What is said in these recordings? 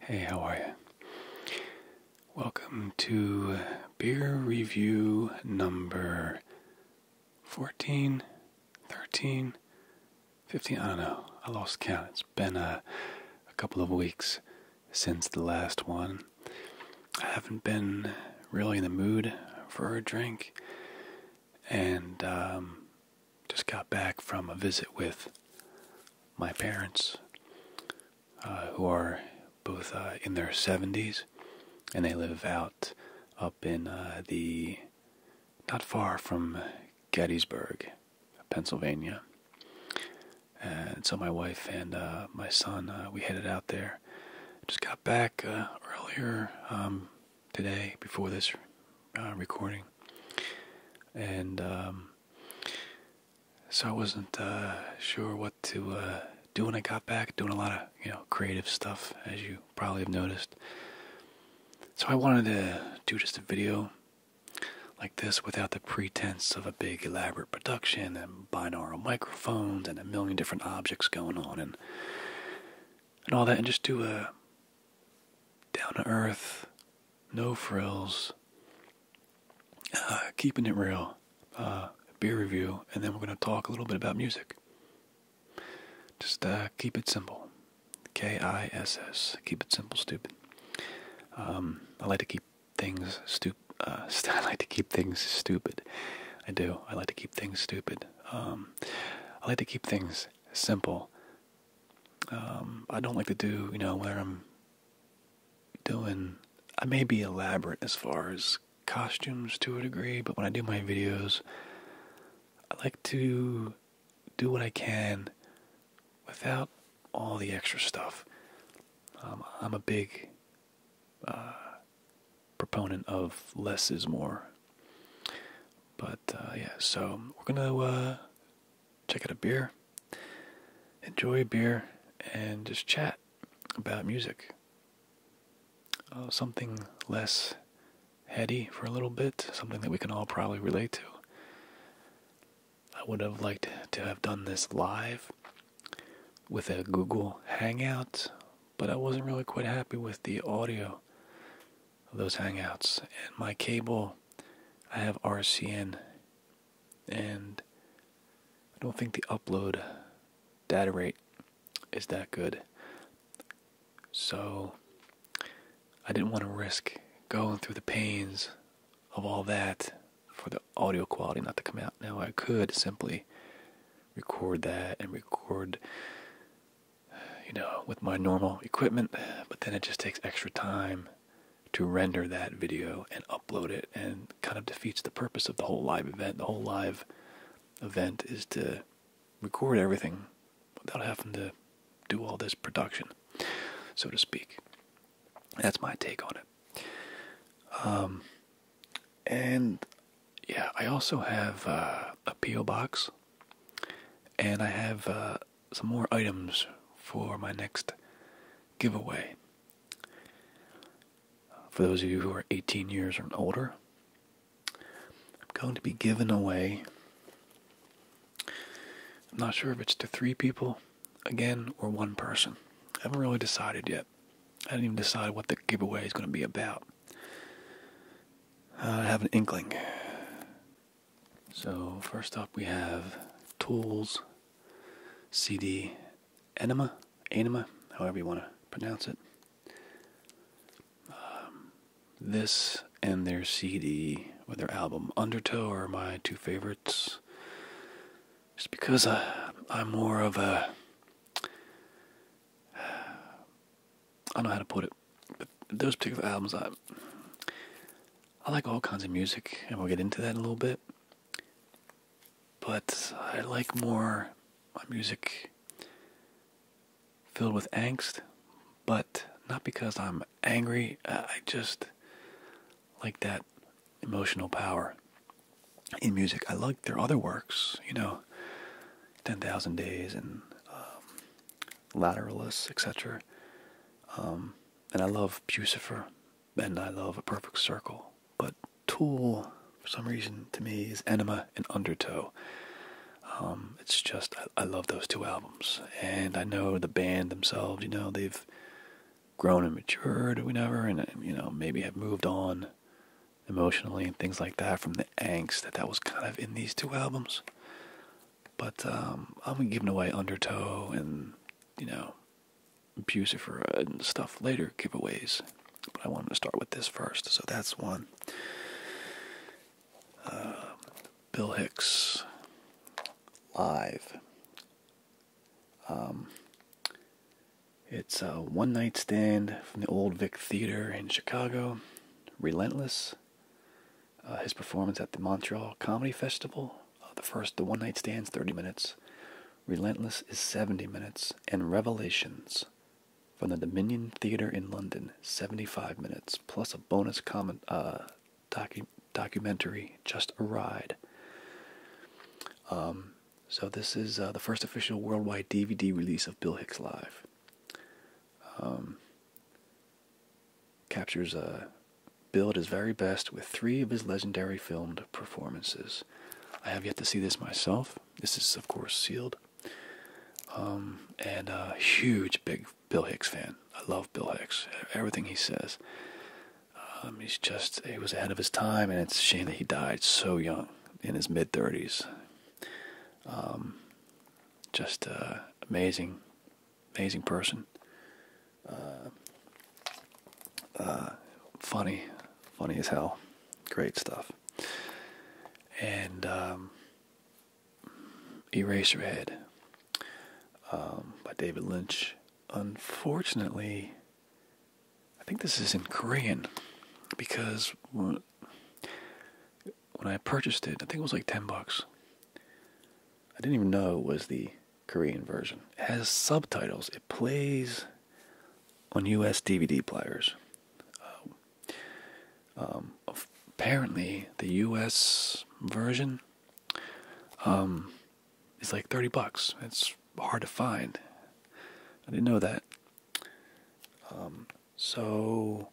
Hey, how are you? Welcome to beer review number 14, 13, 15. I don't know. I lost count. It's been uh, a, couple of weeks since the last one. I haven't been really in the mood for a drink, and um, just got back from a visit with my parents, uh, who are both uh, in their 70s, and they live out up in uh, the not far from Gettysburg, Pennsylvania. And so my wife and my son, we headed out there. Just got back earlier um, today before this recording, and. Um, so I wasn't uh, sure what to uh, do when I got back. Doing a lot of you know creative stuff, as you probably have noticed. So I wanted to do just a video like this without the pretense of a big elaborate production and binaural microphones and a million different objects going on and and all that, and just do a down to earth no frills, uh, keeping it real, uh, beer review, and then we're going to talk a little bit about music. Just uh, keep it simple. K I S S. Keep it simple, stupid. Um, I like to keep things stupid. I like to keep things stupid. I do. I like to keep things stupid. Um, I like to keep things simple. Um, I don't like to do, you know, whether I'm doing, I may be elaborate as far as costumes to a degree, but when I do my videos, I like to do what I can without all the extra stuff. Um, I'm a big uh, proponent of less is more. But uh, yeah, so we're gonna uh, check out a beer, enjoy a beer, and just chat about music. Uh, something less heady for a little bit, something that we can all probably relate to. I would have liked to have done this live with a Google Hangout, but I wasn't really quite happy with the audio of those Hangouts. And my cable, I have RCN and I don't think the upload data rate is that good. So I didn't want to risk going through the pains of all that for the audio quality not to come out. Now I could simply record that and record you know with my normal equipment, but then it just takes extra time to render that video and upload it and kind of defeats the purpose of the whole live event. The whole live event is to record everything without having to do all this production, so to speak. That's my take on it. Um, and yeah, I also have uh, a P.O. box, and I have uh, some more items for my next giveaway. For those of you who are 18 years or older, I'm going to be giving away. I'm not sure if it's to three people again or one person. I haven't really decided yet. I didn't even decide what the giveaway is going to be about. I have an inkling. So, first up, we have Tools CD Enema, Enema, however you want to pronounce it. Um, this and their CD, or their album Undertow, are my two favorites. Just because I, uh, I'm more of a. I don't know how to put it, but those particular albums, I, I like all kinds of music, and we'll get into that in a little bit. But I like more music filled with angst, but not because I'm angry. Uh, I just like that emotional power in music. I like their other works, you know, 10,000 Days and um, Lateralus, um, etc and I love Pucifer, and I love A Perfect Circle, but Tool, for some reason, to me, is Enema and Undertow. Um, it's just I, love those two albums, and I know the band themselves. You know they've grown and matured, whatever, and you know maybe have moved on emotionally and things like that from the angst that that was kind of in these two albums. But um, I'm giving away Undertow and you know, Bucifer uh, and stuff later giveaways. But I wanted to start with this first, so that's one. Uh, Bill Hicks live. Um, it's a one night stand from the Old Vic Theater in Chicago. Relentless. Uh, his performance at the Montreal Comedy Festival. Uh, the first, The One Night Stands, 30 minutes. Relentless is 70 minutes. And Revelations from the Dominion Theatre in London, 75 minutes, plus a bonus comment, uh, docu documentary, Just a Ride. Um, so, this is uh, the first official worldwide DVD release of Bill Hicks Live. Um, captures uh, Bill at his very best with three of his legendary filmed performances. I have yet to see this myself. This is, of course, sealed. Um, and a huge, big Bill Hicks fan. I love Bill Hicks. Everything he says. Um, he's just, he was ahead of his time, and it's a shame that he died so young, in his mid 30s. Um, just uh, amazing amazing person. Uh, uh, funny, funny as hell. Great stuff. And um, Eraserhead um, by David Lynch. Unfortunately, I think this is in Korean because when I purchased it, I think it was like 10 bucks. I didn't even know it was the Korean version. has subtitles. It plays on US DVD players. Um, um, apparently, the US version um, is like 30 bucks. It's hard to find. I didn't know that. so,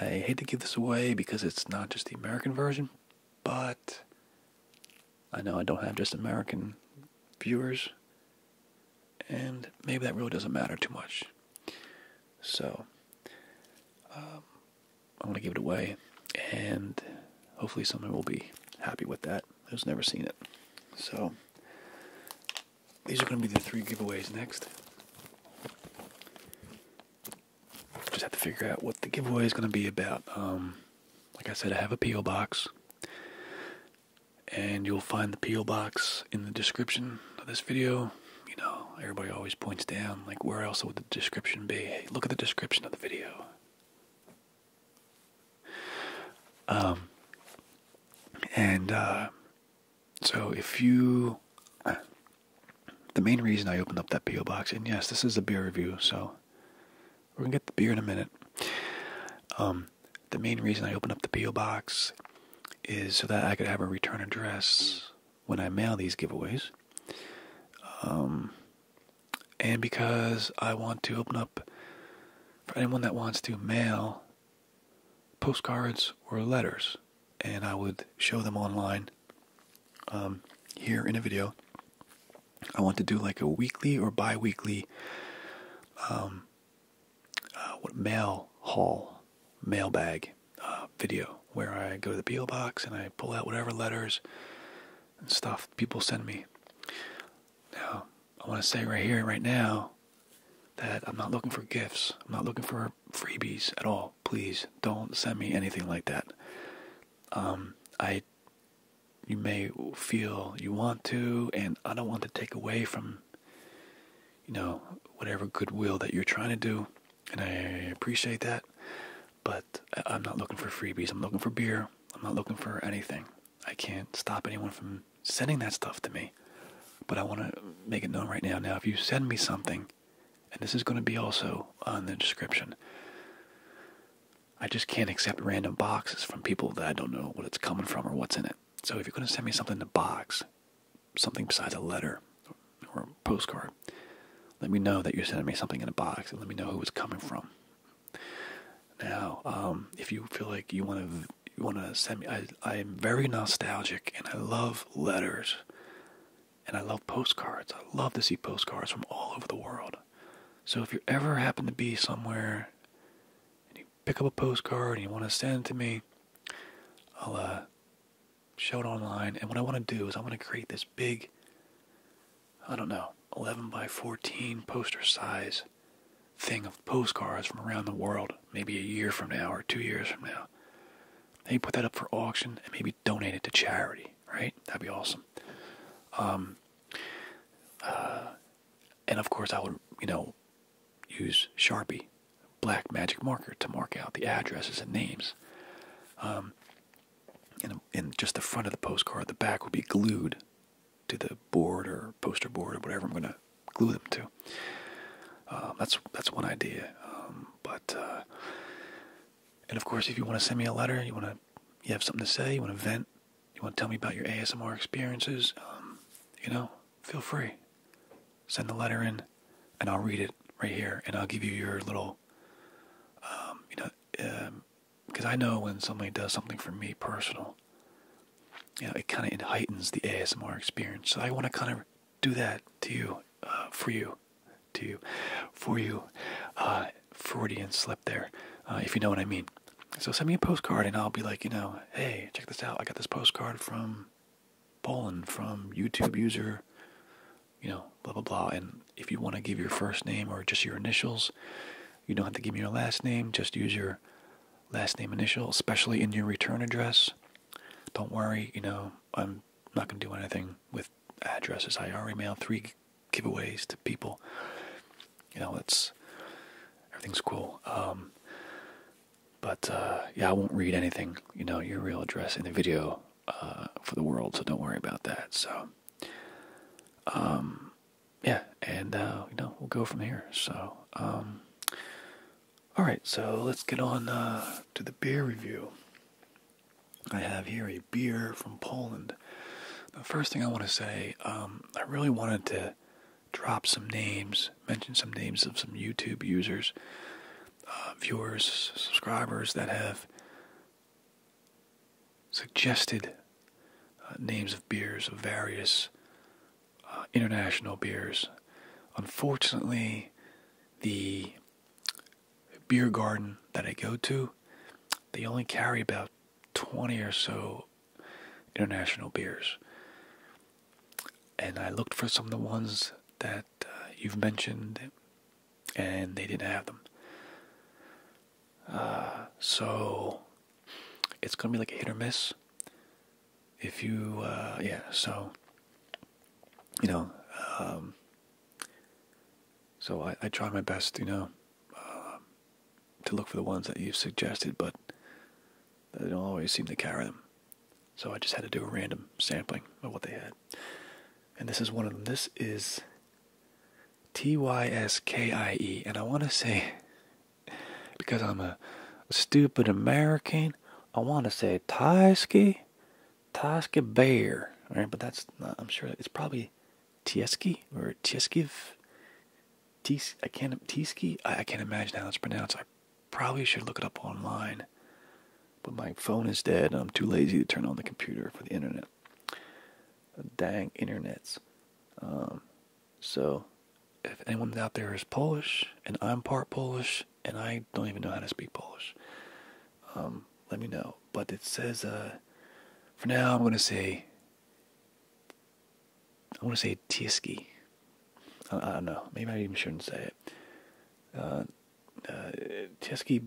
I hate to give this away because it's not just the American version, but I know I don't have just American viewers, and maybe that really doesn't matter too much. So, um, I'm going to give it away, and hopefully, someone will be happy with that who's never seen it. So, these are going to be the three giveaways next just have to figure out what the giveaway is going to be about. Um, like I said, I have a P.O. box, and you'll find the P.O. box in the description of this video. You know, everybody always points down, like, where else would the description be? look at the description of the video. Um, and uh, so if you the main reason I opened up that P.O. box, and yes, this is a beer review, so we're gonna get the beer in a minute. Um, the main reason I opened up the P.O. box is so that I could have a return address when I mail these giveaways. Um, and because I want to open up for anyone that wants to mail postcards or letters, and I would show them online um, here in a video. I want to do like a weekly or bi-weekly um, uh, mail haul, mailbag uh, video where I go to the PO box and I pull out whatever letters and stuff people send me. Now, I want to say right here, right now, that I'm not looking for gifts. I'm not looking for freebies at all. Please don't send me anything like that. Um, I, you may feel you want to, and I don't want to take away from, you know, whatever goodwill that you're trying to do, and I appreciate that. But I'm not looking for freebies. I'm looking for beer. I'm not looking for anything. I can't stop anyone from sending that stuff to me. But I want to make it known right now. Now, if you send me something, and this is going to be also on the description. I just can't accept random boxes from people that I don't know what it's coming from or what's in it. So if you're going to send me something in a box, something besides a letter or a postcard, let me know that you're sending me something in a box and let me know who it's coming from. Now, um, if you feel like you want to want to send me, I am very nostalgic and I love letters. And I love postcards. I love to see postcards from all over the world. So if you ever happen to be somewhere and you pick up a postcard and you want to send to me, I'll uh, show it online. And what I want to do is I want to create this big, I don't know, 11 by 14 poster size thing of postcards from around the world, maybe a year from now or two years from now. Then put that up for auction and maybe donate it to charity, right? That'd be awesome. Um, uh, and of course, I would, you know, use Sharpie, black magic marker to mark out the addresses and names. Um, and, and just the front of the postcard, the back would be glued to the board or poster board or whatever I'm going to glue them to. Um, that's that's one idea, um, but uh, and of course, if you want to send me a letter, you want to, you have something to say, you want to vent, you want to tell me about your ASMR experiences, um, you know, feel free. Send the letter in, and I'll read it right here, and I'll give you your little, um, you know, because um, I know when somebody does something for me personal, you know, it kind of heightens the ASMR experience. So I want to kind of do that to you uh, for you, to you, for you, uh, Freudian slip there, uh, if you know what I mean. So send me a postcard, and I'll be like, you know, hey, check this out. I got this postcard from Poland from YouTube user, you know, blah blah blah. And if you want to give your first name or just your initials, you don't have to give me your last name. Just use your last name initial, especially in your return address. Don't worry, you know, I'm not gonna do anything with addresses. I already mailed three giveaways to people. You know, it's everything's cool. Um, but uh, yeah, I won't read anything. You know, your real address in the video uh, for the world, so don't worry about that. So, um, yeah, and uh, you know, we'll go from here. So, um, all right, so let's get on uh, to the beer review. I have here a beer from Poland. The first thing I want to say, um, I really wanted to drop some names, mention some names of some YouTube users, uh, viewers, subscribers that have suggested uh, names of beers of various uh, international beers. Unfortunately, the beer garden that I go to, they only carry about 20 or so international beers. And I looked for some of the ones that uh, you've mentioned, and they didn't have them. Uh, so it's gonna be like a hit or miss. If you, uh, yeah, so you know, um, so I, I try my best, you know, uh, to look for the ones that you've suggested, but they don't always seem to carry them. So I just had to do a random sampling of what they had. And this is one of them. This is T Y S K I E. And I want to say, because I'm a stupid American, I want to say Tyskie, Taske Bear. All right, but that's I'm sure it's probably Tieski or Tieskiv. Tis, I can't Tieski. I, can't imagine how it's pronounced. I probably should look it up online, but my phone is dead, and I'm too lazy to turn on the computer for the internet. Dang internets. Um, so, if anyone out there is Polish, and I'm part Polish, and I don't even know how to speak Polish, um, let me know. But it says, uh, for now, I'm going to say, I want to say Tieski. I, don't know. Maybe I even shouldn't say it. Uh, uh Tieski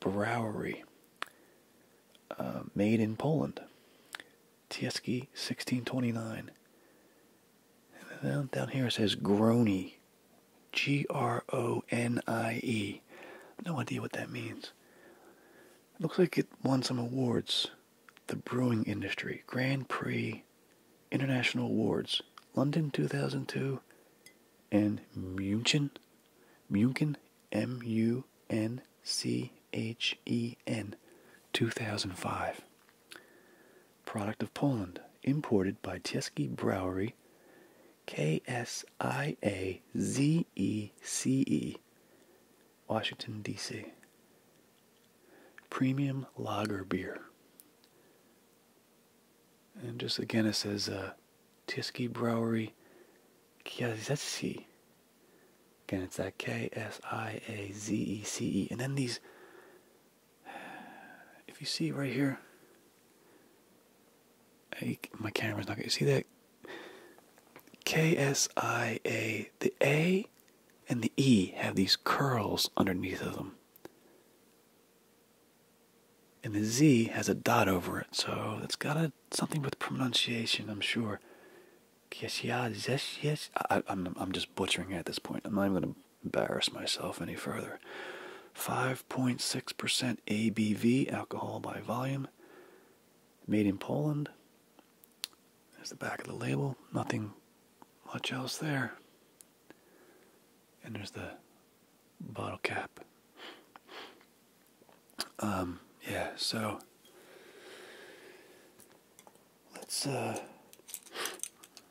Brewery, uh, made in Poland. Tieski 1629. down, down here it says Grony G R O N I E. No idea what that means. looks like it won some awards. The brewing industry, Grand Prix, International Awards, London 2002, and Munich, U N C H E N, 2005. Product of Poland, imported by Tieski Brewery K S I A Z E C E, Washington, D.C. Premium lager beer. And just again, it says uh, Tiski Brewery Kiazesi. Again, it's that K S I A Z E C E. And then these, if you see right here, my camera's not gonna see that. K S I A. The A and the E have these curls underneath of them. And the Z has a dot over it, so that's got something with pronunciation, I'm sure. Yes, yes, yes. I, am I'm just butchering it at this point. I'm not even going to embarrass myself any further. 5.6% ABV alcohol by volume. Made in Poland. There's the back of the label. Nothing much else there. And there's the bottle cap. Um, yeah, so let's uh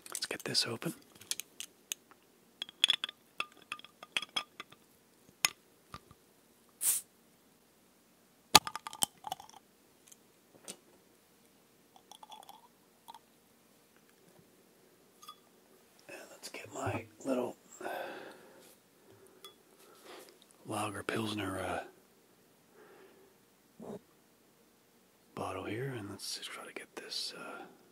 let's get this open let's get my little Lager Pilsner uh, bottle here, and let's just try to get this. Uh,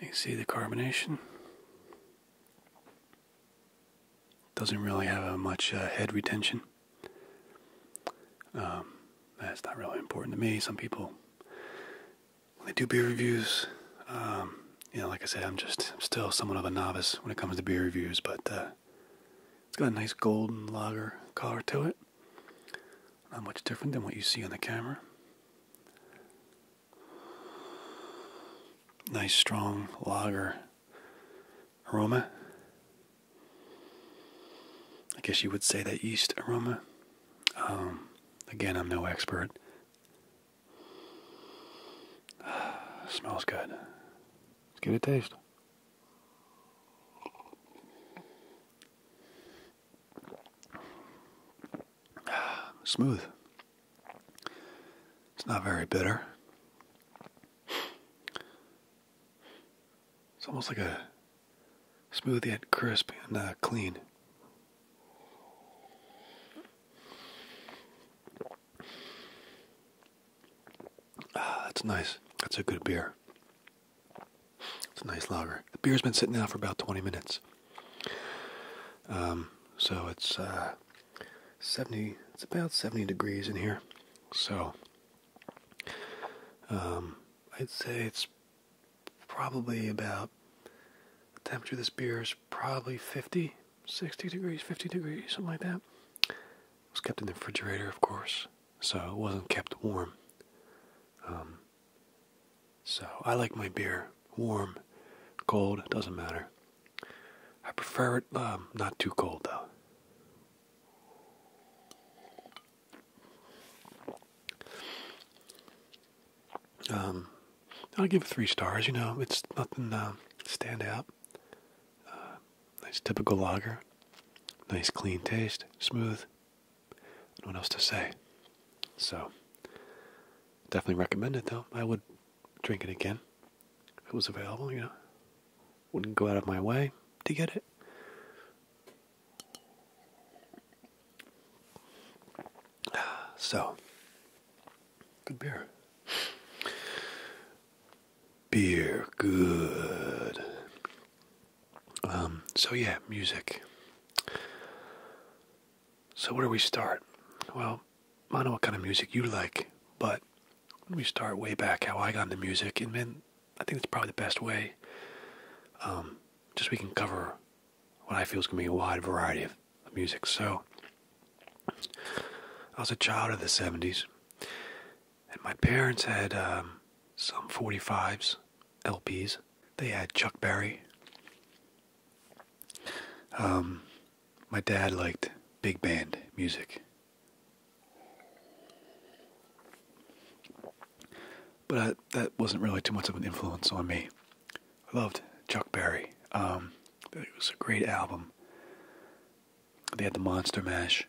You see the carbonation? Doesn't really have a much uh, head retention. Um, that's not really important to me. Some people, when they do beer reviews, um, you know, like I said, I'm just still somewhat of a novice when it comes to beer reviews, but uh, it's got a nice golden lager color to it. Not much different than what you see on the camera. Nice strong lager aroma. I guess you would say that yeast aroma. Um, again, I'm no expert. smells good. Let's get a taste. Smooth. It's not very bitter. It's almost like a smooth yet crisp and uh, clean. Ah, that's nice. That's a good beer. It's a nice lager. The beer's been sitting now for about 20 minutes. Um, so it's uh, 70, it's about 70 degrees in here. So um, I'd say it's probably about the temperature of this beer is probably 50, 60 degrees, 50 degrees, something like that. It was kept in the refrigerator, of course, so it wasn't kept warm. Um, so I like my beer warm, cold, doesn't matter. I prefer it um, not too cold though. Um, I'll give it three stars. You know, it's nothing uh, stand out nice typical lager. Nice clean taste, smooth. No one else to say. So, definitely recommend it though. I would drink it again if it was available, you know. Wouldn't go out of my way to get it. So, good beer beer good um, so yeah music so where do we start well i don't know what kind of music you like but we start way back how i got into music and then i think it's probably the best way um, just we can cover what i feel is going to be a wide variety of music so i was a child of the 70s and my parents had um, some 45s, LPs. They had Chuck Berry. Um, my dad liked big band music. But that wasn't really too much of an influence on me. I loved Chuck Berry. Um, it was a great album. They had the Monster Mash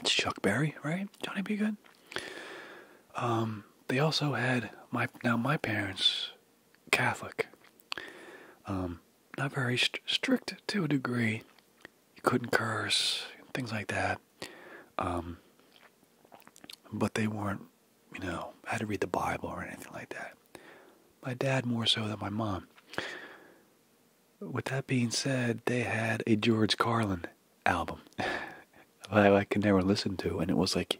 It's Chuck Berry, right? Johnny B. Good. Um, they also had my now my parents Catholic. Um, not very strict to a degree. You couldn't curse things like that. Um, but they weren't, you know, had to read the Bible or anything like that. My dad more so than my mom. With that being said, they had a George Carlin album that I could never listen to, and it was like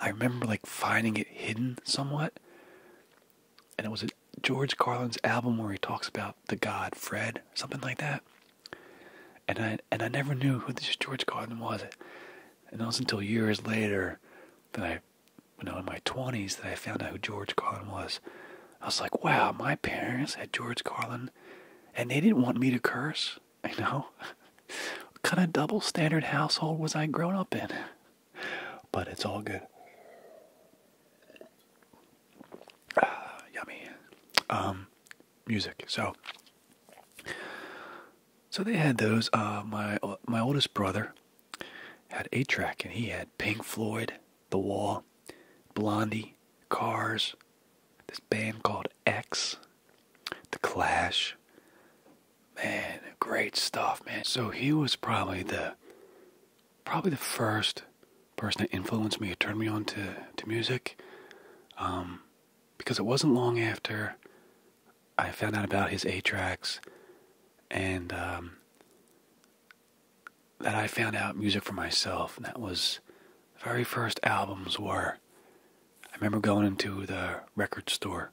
I remember like finding it hidden somewhat, and it was a George Carlin's album where he talks about the God Fred, something like that, and I and I never knew who this George Carlin was, and it was until years later that I, you know, in my twenties that I found out who George Carlin was. I was like, wow, my parents had George Carlin and they didn't want me to curse. I know. what kind of double standard household was I grown up in? But it's all good. Ah, yummy. Um, music. So, so they had those. Uh, my my oldest brother had a track, and he had Pink Floyd, The Wall, Blondie, Cars, this band called X, The Clash. Man, great stuff, man. So he was probably the probably the first person that influenced me, turned me on to, to music. Um, because it wasn't long after I found out about his A tracks and um, that I found out music for myself. And that was very first albums were. I remember going into the record store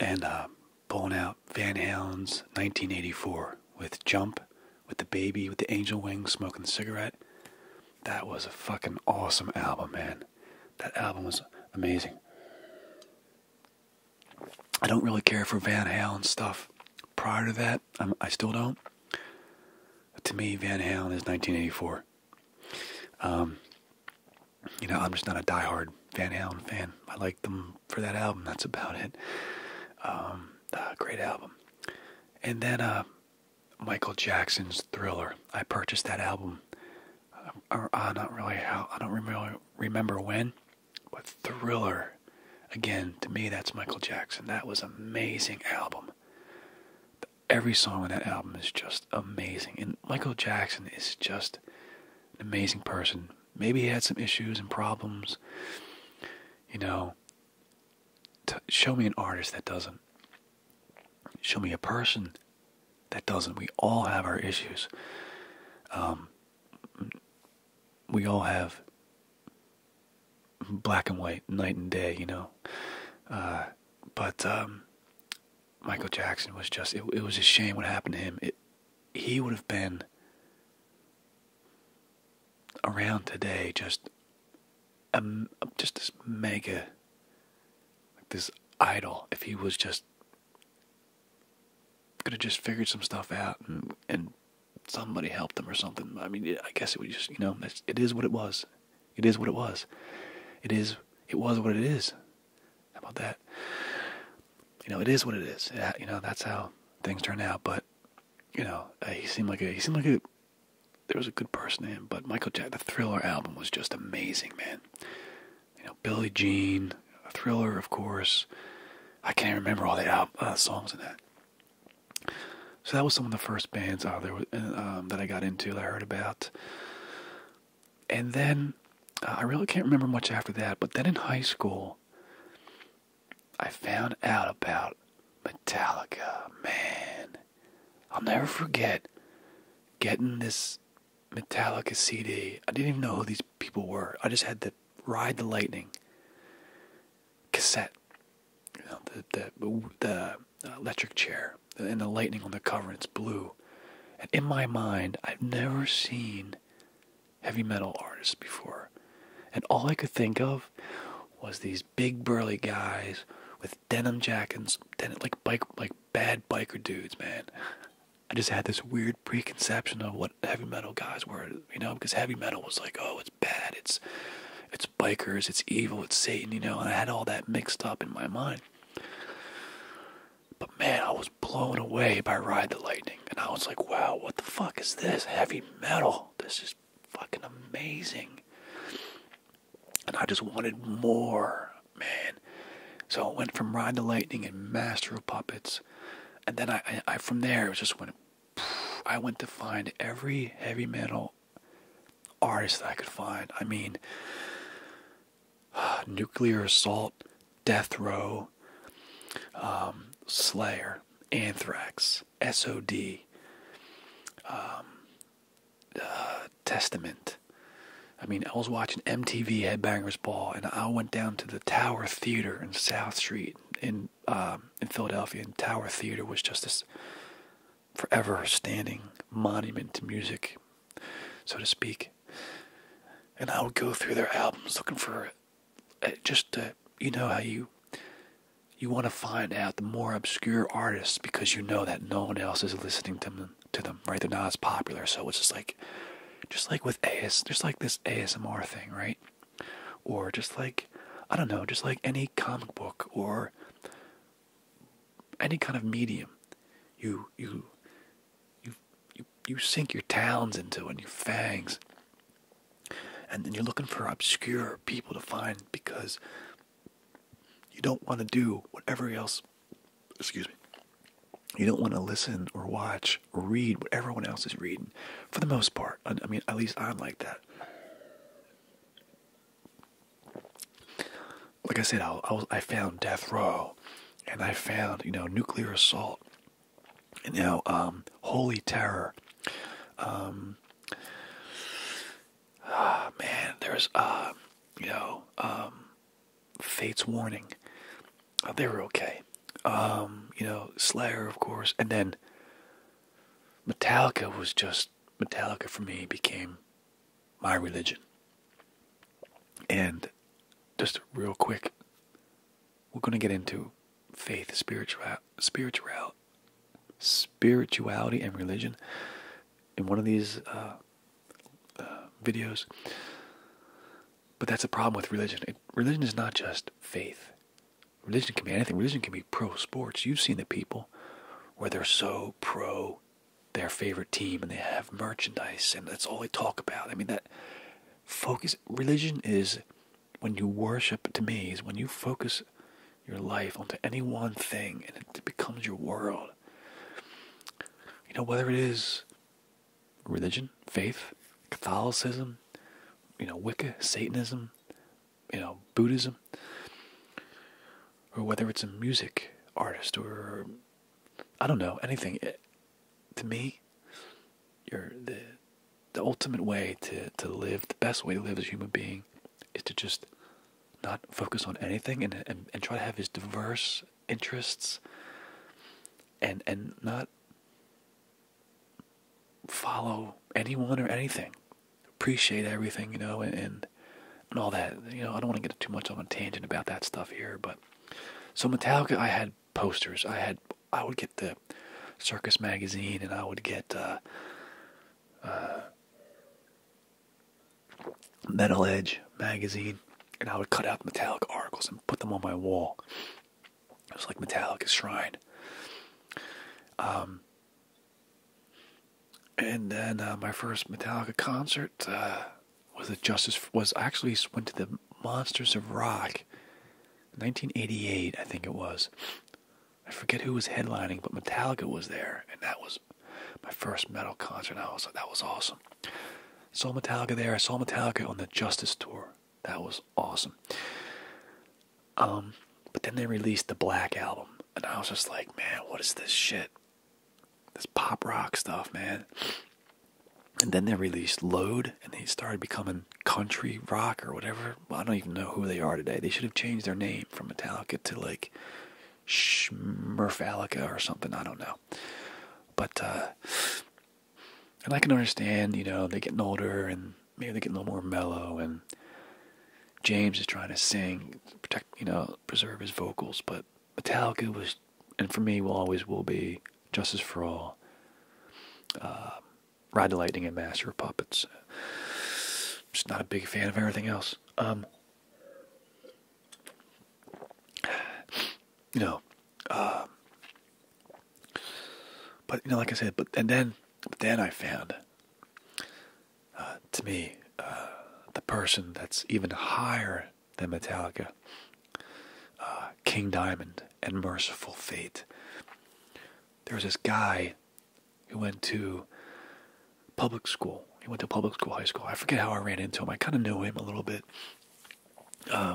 and uh, pulling out Van Halen's 1984 with Jump, with the baby, with the angel wings, smoking the cigarette. That was a fucking awesome album, man. That album was amazing. I don't really care for Van Halen stuff, prior to that. i still don't. To me, Van Halen is 1984. Um, you know, I'm just not a diehard Van Halen fan. I like them for that album. That's about it. Um, great album. And then uh, Michael Jackson's Thriller. I purchased that album. Uh, uh, not really I don't remember remember when, but Thriller Again, to me, that's Michael Jackson. That was an amazing album. Every song on that album is just amazing. And Michael Jackson is just an amazing person. Maybe he had some issues and problems. You know, show me an artist that doesn't. Show me a person that doesn't. We all have our issues. Um, we all have black and white, night and day, you know. Uh, but um, Michael Jackson was just, it, was a shame what happened to him. It, he would have been around today just um, just this mega this idol if he was just could have just figured some stuff out and somebody helped them or something. I mean, I guess it was just you know, it is what it was. It is what it was. It is. It was what it is. How about that? You know, it is what it is. you know, that's how things turn out. But you know, uh, he seemed like a he seemed like a there was a good person in him. But Michael Jack, the Thriller album was just amazing, man. You know, Billie Jean, Thriller, of course. I can't remember all the uh, songs in that. So that was some of the first bands um, that I got into that I heard about. And then uh, I really can't remember much after that, but then in high school, I found out about Metallica. Man, I'll never forget getting this Metallica CD. I didn't even know who these people were. I just had to ride the lightning cassette, the the uh, electric chair and the lightning on the cover, and it's blue. And in my mind, I've never seen heavy metal artists before, and all I could think of was these big burly guys with denim jackets, like bike, like bad biker dudes, man. I just had this weird preconception of what heavy metal guys were, you know, because heavy metal was like, oh, it's it's bad, it's it's bikers, it's evil, it's Satan, you know, and I had all that mixed up in my mind. But man, I was blown away by Ride the Lightning, and I was like, wow, what the fuck is this? Heavy metal. This is fucking amazing. And I just wanted more, man. So I went from Ride the Lightning and Master of Puppets, and then I, I, I from there it just went I went to find every heavy metal artist that I could find. I mean, Nuclear Assault, Death Row, um, Slayer, Anthrax, SOD, um, uh, Testament. I mean, I was watching MTV Headbangers Ball, and I went down to the Tower Theater in South Street in um, in Philadelphia, and Tower Theater was just this forever standing monument to music, so to speak. And I would go through their albums looking for uh, just you know how you you want to find out the more obscure artists because you know that no one else is listening to them to them right they're not as popular so it's just like just like with AS just like this ASMR thing right or just like I don't know, just like any comic book or any kind of medium you you you you, you sink your talons into and your fangs and then you're looking for obscure people to find because you don't want to do whatever else excuse me you don't want to listen or watch or read what everyone else is reading for the most part i, I mean at least i'm like that like I said, I, found death row, and I found you know nuclear assault, and now um, holy terror. Um, ah, man, there's uh, you know um, fate's warning. Uh, they were okay. you know, Slayer, of course, and then Metallica was just Metallica for me became my religion. And just real quick, we're going to get into faith, spiritual, spiritual, spirituality, and religion in one of these uh, uh, videos. But that's a problem with religion. religion is not just faith. Religion can be anything. Religion can be pro sports. You've seen the people where they're so pro their favorite team and they have merchandise and that's all they talk about. I mean that focus religion is when you worship to me is when you focus your life onto any one thing and it becomes your world. You know whether it is religion, faith, Catholicism, you know Wicca, Satanism, you know Buddhism, or whether it's a music artist or I don't know anything. Eh, to me, the the ultimate way to to live, the best way to live as a human being, is to just not focus on anything and and, and try to have as diverse interests and and not follow anyone or anything. Appreciate everything, you know, and, and all that. You know, I don't want to get too much on a tangent about that stuff here, but so Metallica, I had posters. I had I would get the Circus magazine, and I would get uh, uh, Metal Edge magazine, and I would cut out Metallica articles and put them on my wall. It was like Metallica shrine. Um, and then uh, my first Metallica concert uh, was at Justice was actually went to the Monsters of Rock, 1988, I think it was. I forget who was headlining, but Metallica was there, and that was my first metal concert. I was like, that was awesome. Saw Metallica there. I saw Metallica on the Justice tour. That was awesome. Um, but then they released the Black album, and I was just like, man, what is this shit? This pop rock stuff, man. And then they released Load, and they started becoming country rock or whatever. I don't even know who they are today. They should have changed their name from Metallica to like Schmerfalica or something. I don't know. But, uh, and I can understand, you know, they're getting older and maybe they get a little more mellow and James is trying to sing, protect you know, preserve his vocals, but Metallica was and for me will always will be Justice for All. Uh, Ride the Lightning and Master of Puppets. Just not a big fan of everything else. Um, you know, uh, but you know, like I said, but and then but then I found, uh, to me, uh, the person that's even higher than Metallica, uh, King Diamond and Merciful Fate. There was this guy who went to public school. He went to public school, high school. I forget how I ran into him. I kind of knew him a little bit.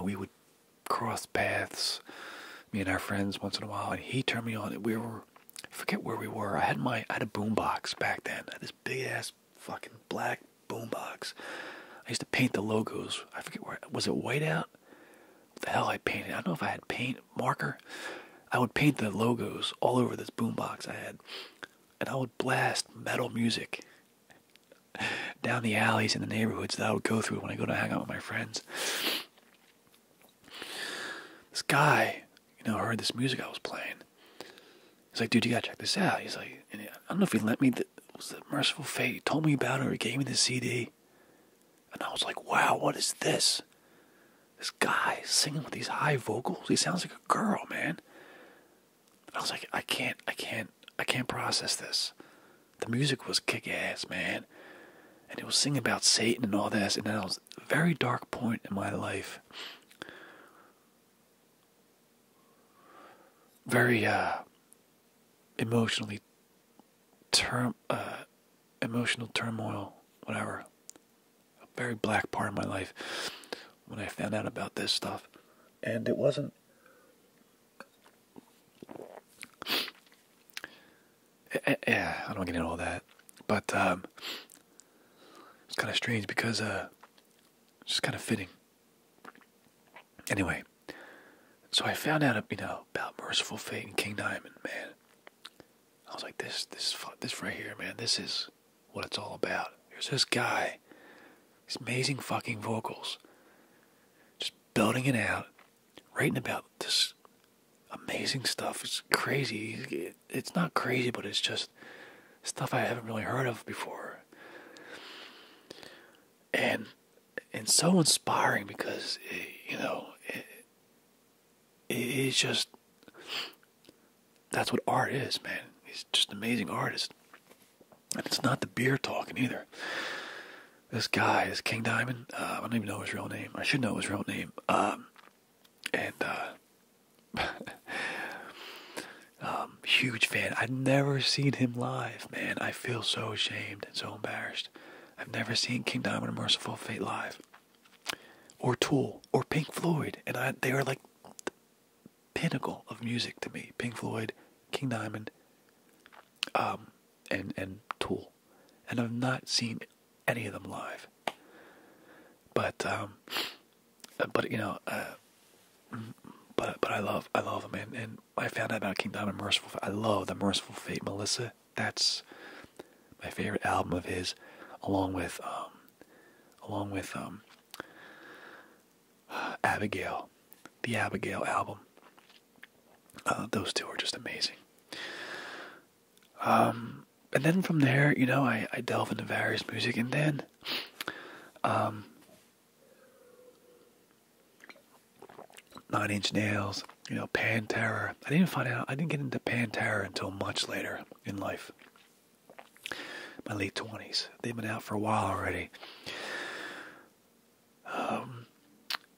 we would cross paths, me and our friends once in a while, and he turned me on. We were forget where we were. I had my I had a boombox back then. I had this big ass fucking black boombox. I used to paint the logos. I forget where was it whiteout? What the hell I painted. I don't know if I had paint marker. I would paint the logos all over this boombox I had, and I would blast metal music down the alleys in the neighborhoods that I would go through when I go to hang out with my friends. This guy, you know, heard this music I was playing. He's like, dude, you gotta check this out. He's like, I don't know if he lent me the was the merciful fate. He told me about it he gave me the CD. And I was like, wow, what is this? This guy singing with these high vocals. He sounds like a girl, man. I was like, I can't, I can't, I can't process this. The music was kick ass, man. And he was singing about Satan and all this. And I was, very dark point in my life. Very uh, emotionally term uh, emotional turmoil, whatever. A very black part of my life when I found out about this stuff. And it wasn't Eh, eh, yeah, I don't get into all that, but um, it's kind of strange because uh, it's just kind of fitting. Anyway, so I found out, you know, about Merciful Fate and King Diamond, man. I was like, this, this, this right here, man. This is what it's all about. Here's this guy, these amazing fucking vocals, just building it out, writing about this amazing stuff. It's crazy. It's not crazy, but it's just stuff I haven't really heard of before. And and so inspiring because eh, you know it's just that's what art is, man. He's just an amazing artist, and it's not the beer talking either. This guy, is King Diamond, uh, I don't even know his real name. I should know his real name. Um, and uh, um, huge fan. I've never seen him live, man. I feel so ashamed and so embarrassed. I've never seen King Diamond or Merciful Fate live, or Tool, or Pink Floyd, and I, they are like pinnacle of music to me. Pink Floyd, King Diamond, um, and and Tool, and I've not seen any of them live. But um, but you know, uh, but but I love I love them, and, and I found out about King Diamond Merciful. I love the Merciful Fate, Melissa. That's my favorite album of his, along with um, along with um, Abigail, the Abigail album. Uh, those two are just amazing. Um, and then from there, you know, I, I delve into various music, and then, um, Nine Inch Nails, you know, Pantera. I didn't find out, I didn't get into Pantera until much later in life. My late 20s. They've been out for a while already. Um,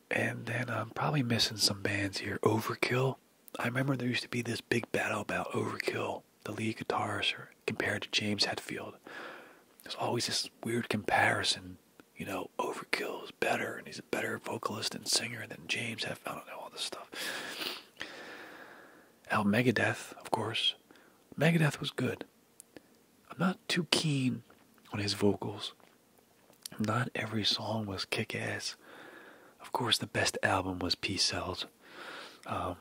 and then I'm probably missing some bands here. Overkill. I remember there used to be this big battle about Overkill, the lead guitarist, compared to James Hetfield. There's always this weird comparison, you know, Overkill is better, and he's a better vocalist and singer than James Hetfield. I don't know all this stuff. Al Megadeth, of course. Megadeth was good. I'm not too keen on his vocals. Not every song was kick ass. Of course, the best album was Peace Cells. Um,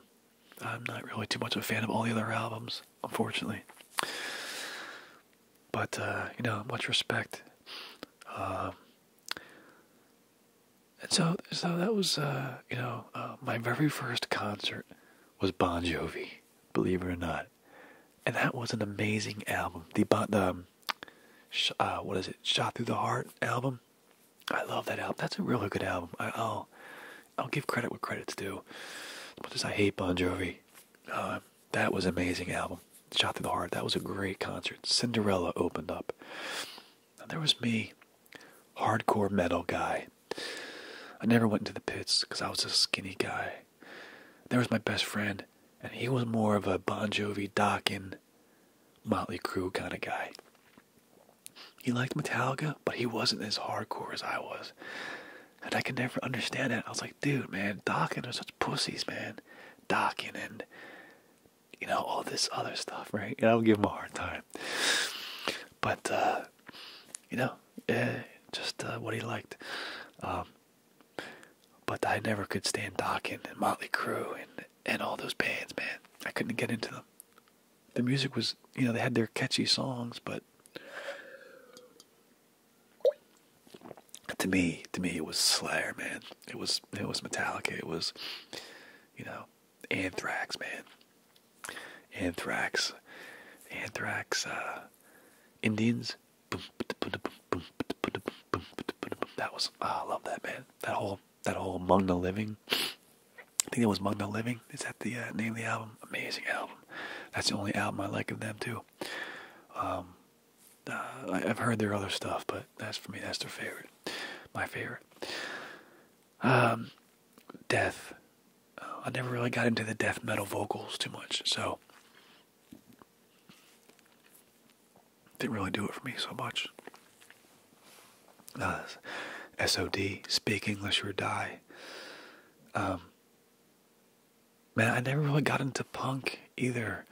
I'm not really too much of a fan of all the other albums, unfortunately. But, uh, you know, much respect. Um, and so, so that was, uh, you know, uh, my very first concert was Bon Jovi, believe it or not. And that was an amazing album. The, bon, um, uh, what is it? Shot Through the Heart album. I love that album. That's a really good album. I, will I'll give credit where credit's due. As as I hate Bon Jovi, uh, that was amazing album. Shot Through the Heart. That was a great concert. Cinderella opened up. there was me, hardcore metal guy. I never went into the pits because I was a skinny guy. There was my best friend, and he was more of a Bon Jovi, Dokken, Motley crew kind of guy. He liked Metallica, but he wasn't as hardcore as I was. And I could never understand that. I was like, dude, man, Doc and are such pussies, man. Docking and, you know, all this other stuff, right? And I would give him a hard time. But, uh, you know, eh, just uh, what he liked. Um, but I never could stand Dokken and Motley Crue and and all those bands, man. I couldn't get into them. The music was, you know, they had their catchy songs, but to me, to me, it was Slayer, man. It was it was Metallica. It was, you know, Anthrax, man. Anthrax, Anthrax, uh, Indians, that was ah, I love that man. That whole that whole Among the Living. I think that was Among the Living. Is that the uh, name of the album? Amazing album. That's the only album I like of them too. Um, uh, I, have heard their other stuff, but that's for me. That's their favorite. My favorite. Um, death. Uh, I never really got into the death metal vocals too much, so didn't really do it for me so much. Uh, SOD, Speak English or Die. Um, man, I never really got into punk either.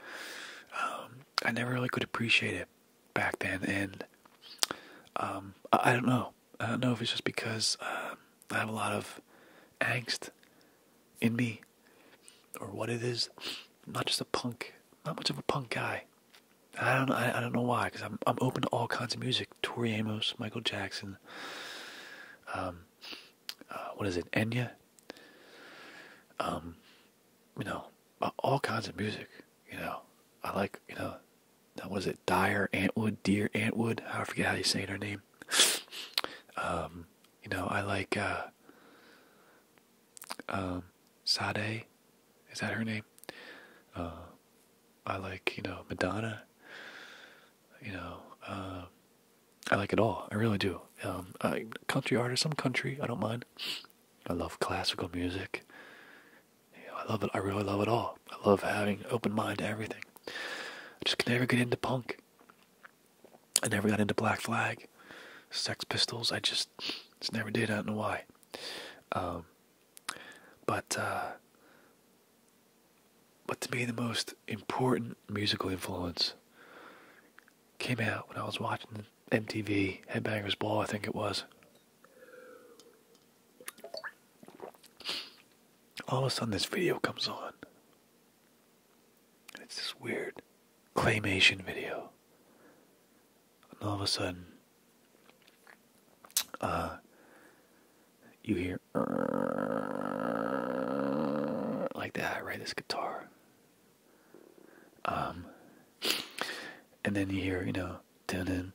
Um, I never really could appreciate it back then, and um, I, don't know. I don't know if it's just because uh, I have a lot of angst in me or what it not just a punk, not much of a punk guy. I don't I, don't know why because I'm I'm open to all kinds of music. Tori Amos, Michael Jackson, um, uh, what is it, Enya? Um, you know, all kinds of music. You know, I like you know, was it, Dyer Antwood, Dear Antwood? I forget how you say her name. Um, you know, I like uh, um, Sade, is that her name? Uh, I like, you know, Madonna. You know, uh, I like it all. I really do. Um, I, country artist, some country. I don't mind. I love classical music. I love it. I really love it all. I love having open mind to everything. I just can never get into punk. I never got into Black Flag, Sex Pistols. I just just never did. I don't know why. Um, but uh, but to me, the most important musical influence came out when I was watching MTV Headbangers Ball. I think it was. All of a sudden, this video comes on it's this weird claymation video. And all of a sudden, uh, you hear like that, right? This guitar. Um, and then you hear, you know, dun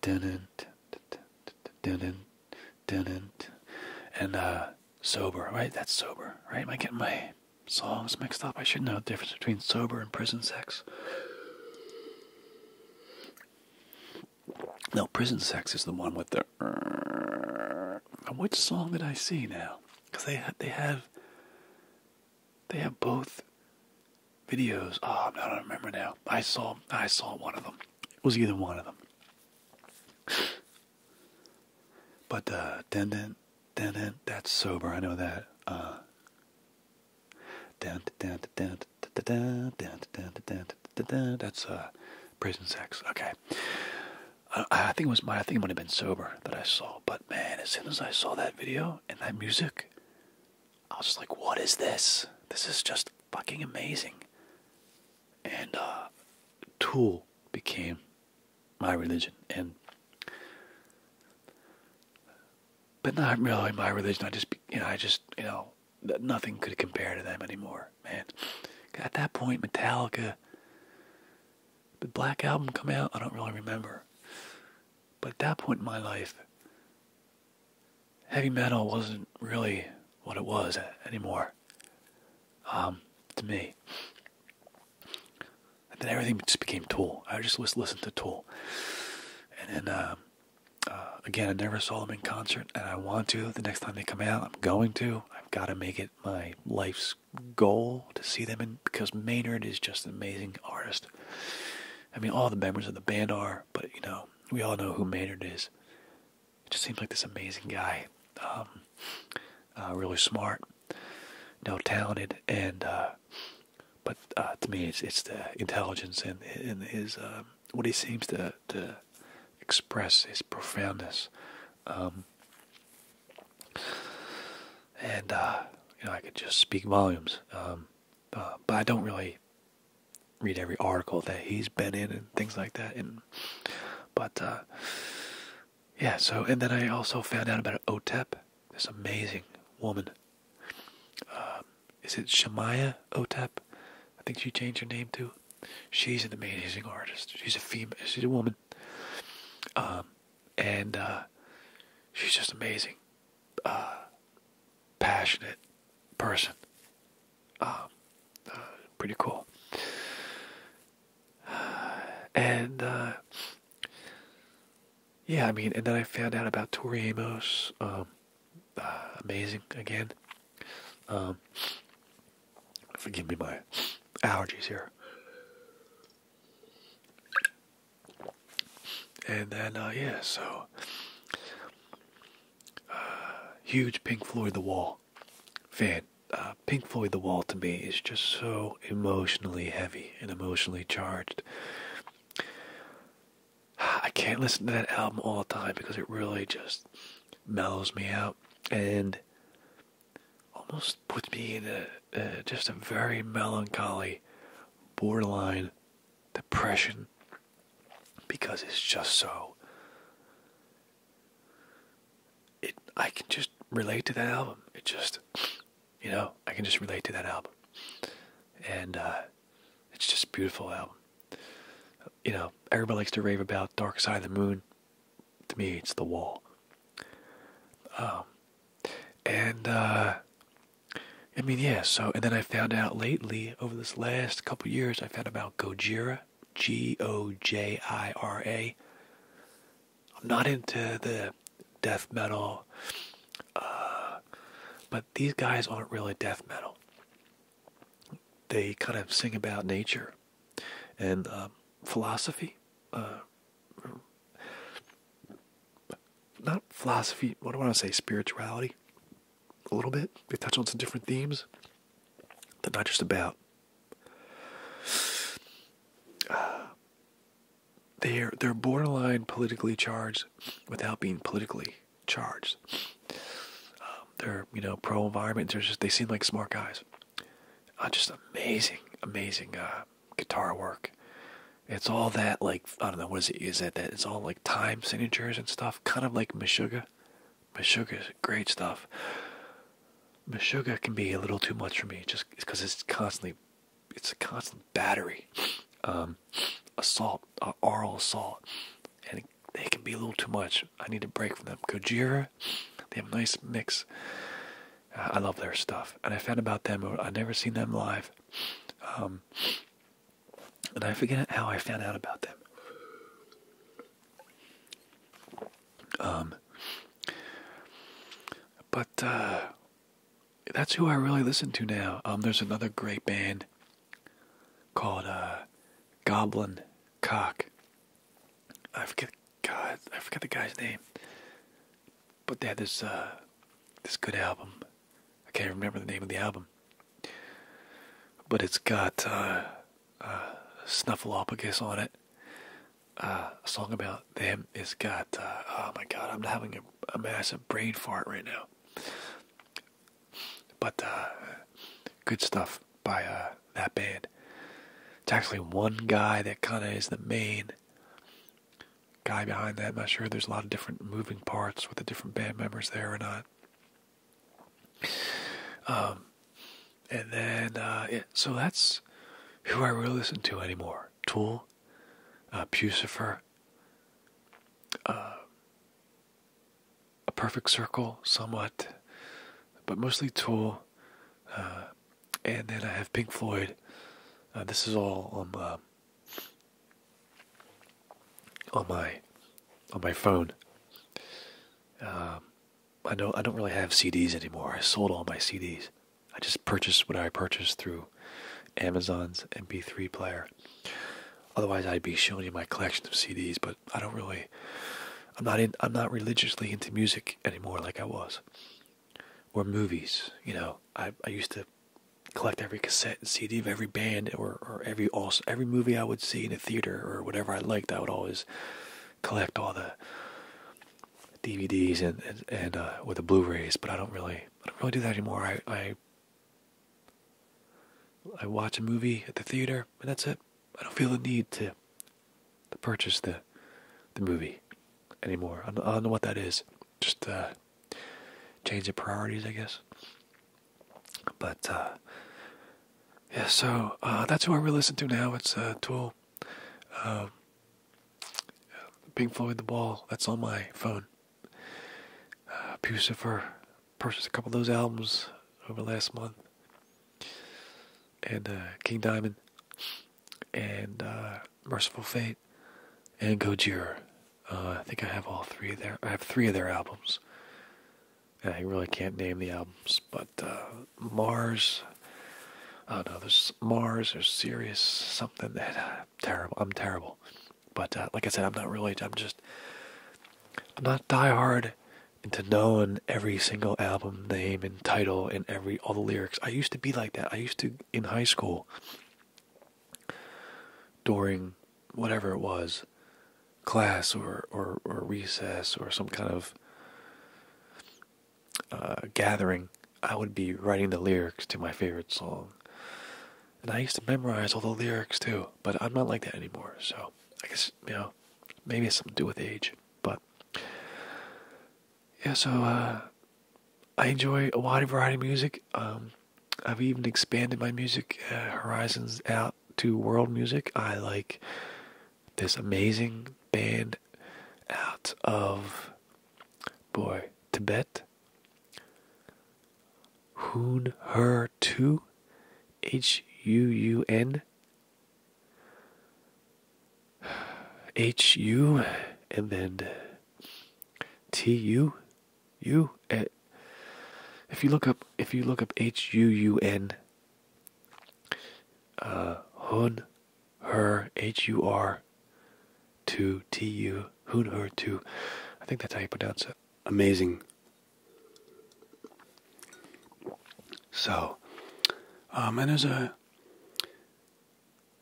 dun dun dun and uh, sober, right? That's sober, right? Am I getting my songs mixed up. I should know the difference between sober and prison sex. No, prison sex is the one with the. Uh, which song did I see now? Because they they have. They have both videos. Oh, I'm not remember now. I saw I saw one of them. It was either one of them. But uh, dun That's sober. I know that. Uh, dun dun dun dun dun That's a prison sex. Okay. I, think it was my. I think it might have been sober that I saw. But man, as soon as I saw that video and that music, I was just like, "What is this? This is just fucking amazing." And uh, Tool became my religion and but not really my religion. I just you know I just you know nothing could compare to them anymore, man. At that point, Metallica, the Black Album come out. I don't really remember, but at that point in my life, heavy metal wasn't really what it was anymore. Um, to me, and then everything just became Tool. I just was listened to Tool. And then um, uh, again, I never saw them in concert, and I want to. The next time they come out, I'm going to. I've got to make it my life's goal to see them in because Maynard is just an amazing artist. I mean, all the members of the band are, but you know, we all know who Maynard is. It just seems like this amazing guy, um, uh, really smart, no talented and uh, but uh, to me it's it's the intelligence and and his uh, what he seems to to express his profoundness um, and you know I could just speak volumes um, but I don't really read every article that he's been in and things like that and but uh, yeah, so and then I also found out about Otep, this amazing woman. Um, is it Shemaya Otep? I think she changed her name too. She's an amazing artist. She's a female. She's a woman, um, and uh, she's just amazing, uh, passionate person. Um, uh, pretty cool. and uh, yeah, I mean, and then I found out about Tori Amos. Um, uh, amazing again. Um, forgive me my allergies here. And then uh, yeah, so uh, huge Pink Floyd The Wall fan. Uh, Pink Floyd The Wall to me is just so emotionally heavy and emotionally charged. I can't listen to that album all the time because it really just mellows me out and almost puts me in a, just a very melancholy, borderline depression because it's just so. It I can just relate to that album. It just you know, I can just relate to that album. And uh, it's just beautiful album. You know, everybody likes to rave about Dark Side of the Moon. To me, it's The Wall. Um, and, uh, I mean, yeah, so, and then I found out lately, over this last couple years, I found about Gojira, G O J I R A. I'm not into the death metal, uh, but these guys aren't really death metal. They kind of sing about nature and um, philosophy. Uh, not philosophy, what do I want to say? Spirituality, a little bit. They touch on some different themes. They're not just about uh, they're they're borderline politically charged without being politically charged. Um, they're you know pro environment. they seem like smart guys. Uh, just amazing, amazing uh, guitar work. It's all that like I don't know what is it is that that it's all like time signatures and stuff, kind of like Meshuga. Meshuga's great stuff. Meshuga can be a little too much for me, just because it's constantly it's a constant battery, um, assault, uh, oral assault, and it, they can be a little too much. I need a break from them. Kojira, they have a nice mix. I love their stuff, and I found about them. i never seen them live, um, and I forget how I found out about them. Um, but uh, that's who I really listen to now. Um, there's another great band called uh, Goblin Cock. I forget God, I forget the guy's name. But they had this uh, this good album. I can't remember the name of the album, but it's got uh, uh, Snuffleupagus on it. Uh, a song about them It's got, uh, oh my god, I'm having a, a massive brain fart right now. But uh, good stuff by that band. It's actually one guy that kind of is the main guy behind that. I'm not sure there's a lot of different moving parts with the different band members there or not. Um, and then, yeah, so that's who I really listen to anymore tool, uh, Pusifer, uh, a perfect circle, somewhat, but mostly tool. Uh, and then I have Pink Floyd. Uh, this is all on my, on my on my phone. Um, I know I don't really have CDs anymore. I sold all my CDs. I just purchased what I purchased through Amazon's MP3 player. Otherwise, I'd be showing you my collection of CDs, but I don't really. I'm not in. I'm not religiously into music anymore like I was, or movies. You know, I I used to collect every cassette and CD of every band or or every also every movie I would see in a theater or whatever I liked. I would always collect all the DVDs and and, uh, with the Blu-rays, but I don't really I don't really do that anymore. I I watch a movie at the theater and that's it. I don't feel the need to to purchase the the movie anymore. I don't, know what that is. Just uh, change of priorities, I guess. But uh, yeah, so uh, that's who I really listen to now. It's uh, Tool. Um, Pink Floyd, The Wall. That's on my phone. Uh, Pucifer purchased a couple of those albums over the last month, and uh, King Diamond, and uh, Merciful Fate, and Gojira. Uh, I think I have all three of their. I have three of their albums. I really can't name the albums, but uh, Mars. oh no! There's Mars. There's Sirius. Something that terrible. I'm terrible. But uh, like I said, I'm not really. I'm just. I'm not diehard into knowing every single album name and title and every all the lyrics. I used to be like that. I used to in high school during whatever it was, class or or, or recess or some kind of uh, gathering, I would be writing the lyrics to my favorite song. And I used to memorize all the lyrics too, but I'm not like that anymore. So I guess, you know, maybe it's something to do with age. But yeah, so uh, I enjoy a wide variety of music. Um, I've even expanded my music uh, horizons out to world music. I like this amazing band out of Boy, Tibet. Hoon her two H U U N H U and then T U U eh, if you look up if you look up H U U N uh Hun her H U R to T U Hunher to I think that's how you pronounce it. Amazing. So um, and there's a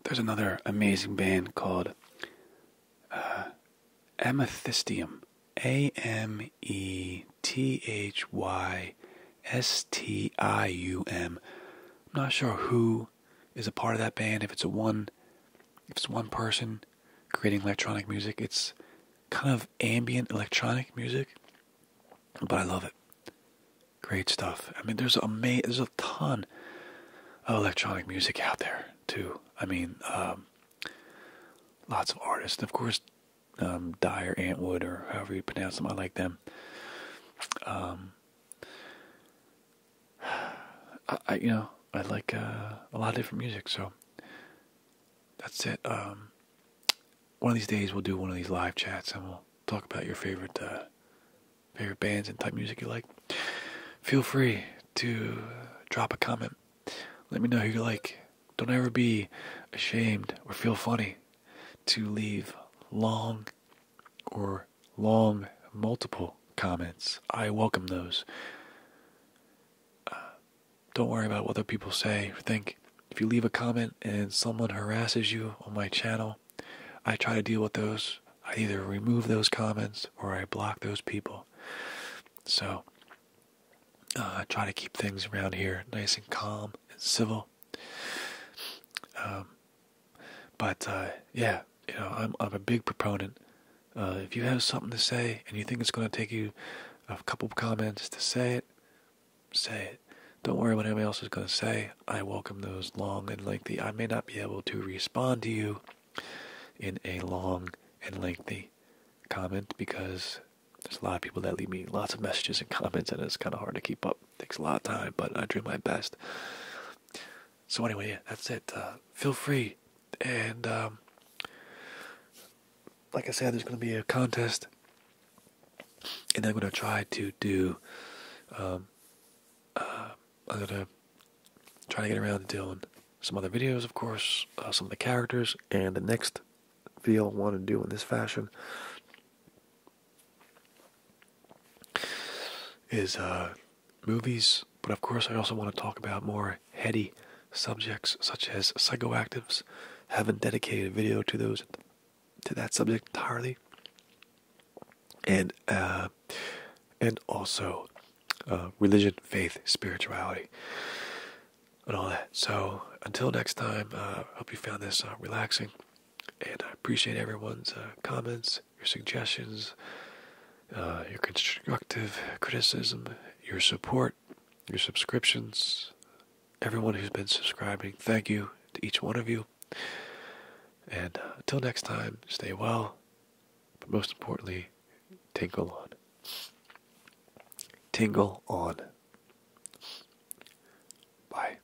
there's another amazing band called uh, Amethystium Amethystium. not sure who is a part of that band, if it's a one, if it's one person creating electronic music, it's kind of ambient electronic music, but I love it. Great stuff. I mean, there's a there's a ton of electronic music out there too. I mean, um, lots of artists, of course, um, Dyer, Antwood, or however you pronounce them. I like them. Um, I, you know I like uh, a lot of different music, so that's it. Um, one of these days we'll do one of these live chats and we'll talk about your favorite uh, favorite bands and type music you like. Feel free to drop a comment. Let me know who you like. Don't ever be ashamed or feel funny to leave long or long, multiple comments. I welcome those. Uh, don't worry about what other people say or think. If you leave a comment and someone harasses you on my channel, I try to deal with those. I either remove those comments or I block those people. So, uh, I try to keep things around here nice and calm and civil. Um, but uh, yeah, you know, I'm a big proponent. Uh, if you have something to say and you think it's going to take you a couple comments to say it, say it. Don't worry what anybody else is going to say. I welcome those long and lengthy. I may not be able to respond to you in a long and lengthy comment because there's a lot of people that leave me lots of messages and comments, and it's kind of hard to keep up takes a lot of time, but I do my best. So anyway, that's it. Uh, feel free, and um, like I said, there's going to be a contest, and I'm going to try to do. Um, uh, I'm going to try to get around to doing some other videos, of course, uh, some of the characters, and the next video I want to do in this fashion is uh, movies, but of course I also want to talk about more heady subjects such as psychoactives. I haven't dedicated a video to those to that subject entirely, and uh, and also uh, religion, faith, spirituality, and all that. So until next time, I hope you found this relaxing and I appreciate everyone's uh, comments, your suggestions, uh, your constructive criticism, your support, your subscriptions. Everyone who's been subscribing, thank you to each one of you. And uh, until next time, stay well, but most importantly, tingle on. Tingle on. Bye.